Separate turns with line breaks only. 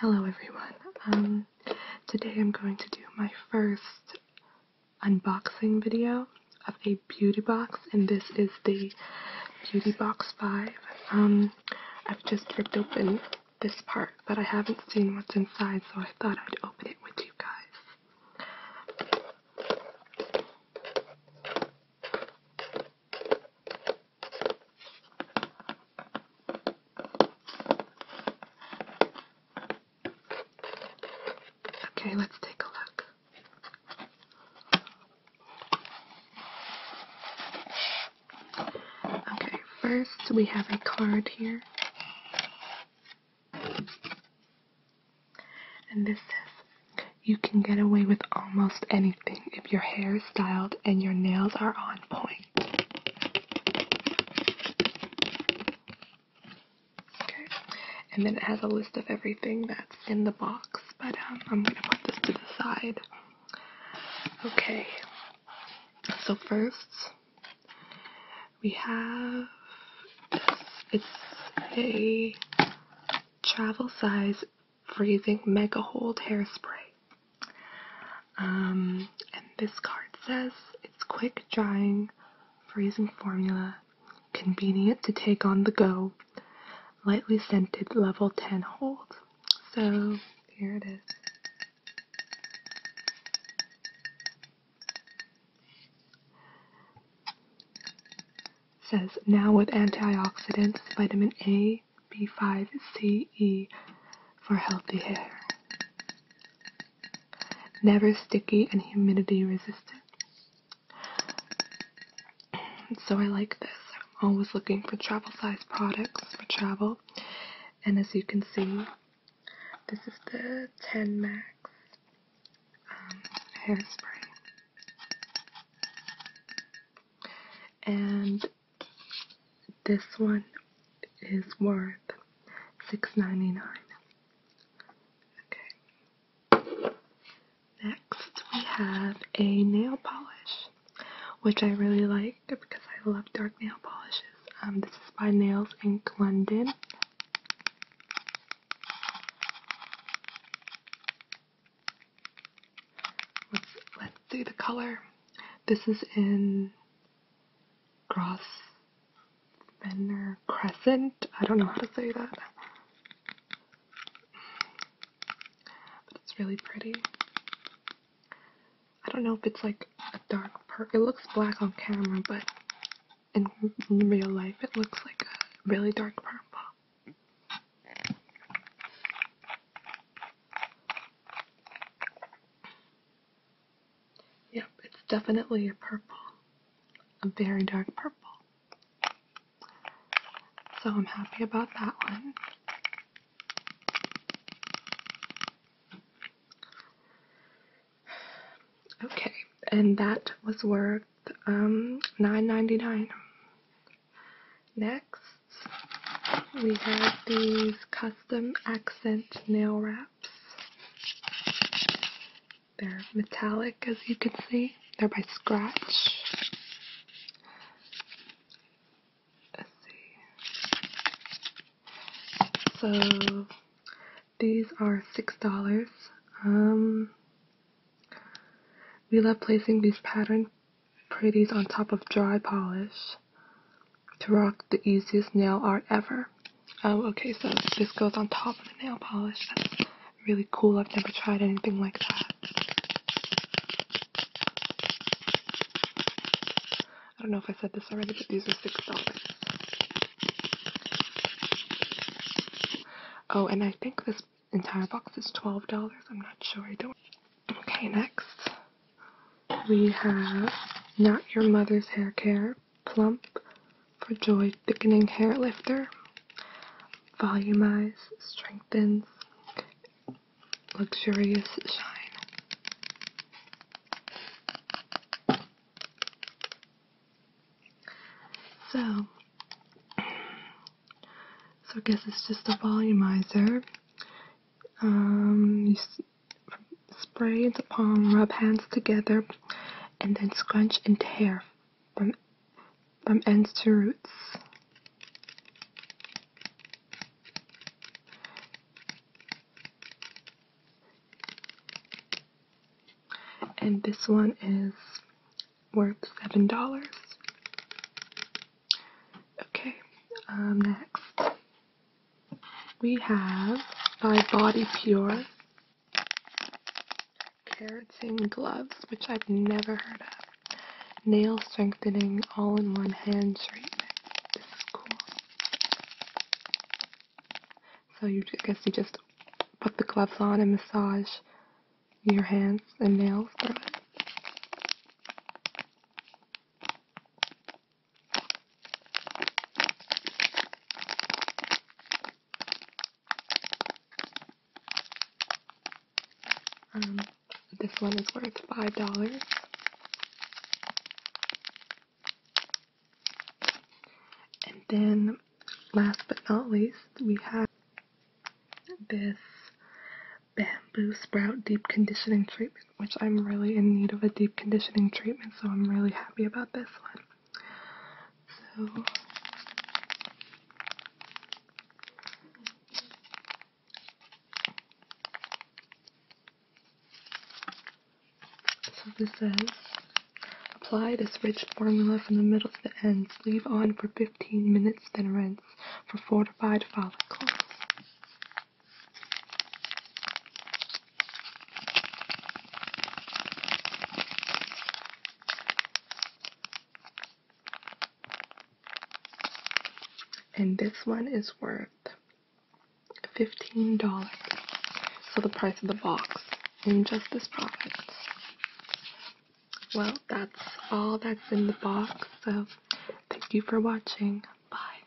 Hello everyone. Um, today I'm going to do my first unboxing video of a beauty box, and this is the Beauty Box 5. Um, I've just ripped open this part, but I haven't seen what's inside, so I thought I'd open it with you guys. Okay, let's take a look. Okay, first we have a card here. And this says, you can get away with almost anything if your hair is styled and your nails are on point. Okay, and then it has a list of everything that's in the box, but um, I'm going to put this to the side. Okay, so first, we have this. It's a travel size freezing mega hold hairspray. Um, and this card says it's quick drying, freezing formula, convenient to take on the go, lightly scented level 10 hold. So here it is. Says now with antioxidants, vitamin A, B5, C, E for healthy hair. Never sticky and humidity resistant. So I like this. I'm always looking for travel size products for travel and as you can see this is the 10 max um, hairspray and this one is worth $6.99 okay next we have a nail polish which I really like because I love dark nail polishes. Um, this is by Nails in London. Let's let's do the color. This is in Cross Fenner Crescent. I don't know how to say that. But it's really pretty. I don't know if it's like a dark purple. It looks black on camera, but in, real life it looks like a really dark purple. Yep, it's definitely a purple. A very dark purple. So I'm happy about that one. Okay, and that was worth um, $9.99. Next, we have these custom accent nail wraps. They're metallic, as you can see. They're by Scratch let's see. So these are six dollars. Um, we love placing these pattern pretties on top of dry polish to rock the easiest nail art ever. Um, okay, so this goes on top of the nail polish really cool. I've never tried anything like that. I don't know if I said this already, but these are $6. Oh, and I think this entire box is $12. I'm not sure. I don't. Okay, next. We have Not Your Mother's Hair Care Plump for Joy Thickening Hair Lifter volumize, strengthens, luxurious shine. So, so I guess it's just a volumizer. Um, you spray the palm, rub hands together, and then scrunch and tear from um, ends to roots. And this one is worth seven dollars. Okay, um, next we have by Body Pure Carrots in gloves, which I've never heard of. Nail strengthening all-in-one hand treatment. This is cool. So you guess you just put the gloves on and massage your hands and nails through it. Um, this one is worth five dollars. And then, last but not least, we have this bamboo sprout deep conditioning treatment, which I'm really in need of a deep conditioning treatment, so I'm really happy about this one. So so this says, apply this rich formula from the middle to the ends, leave on for 15 minutes, then rinse for fortified follicles. And this one is worth $15. So the price of the box and just this Profits. Well, that's all that's in the box. So thank you for watching. Bye.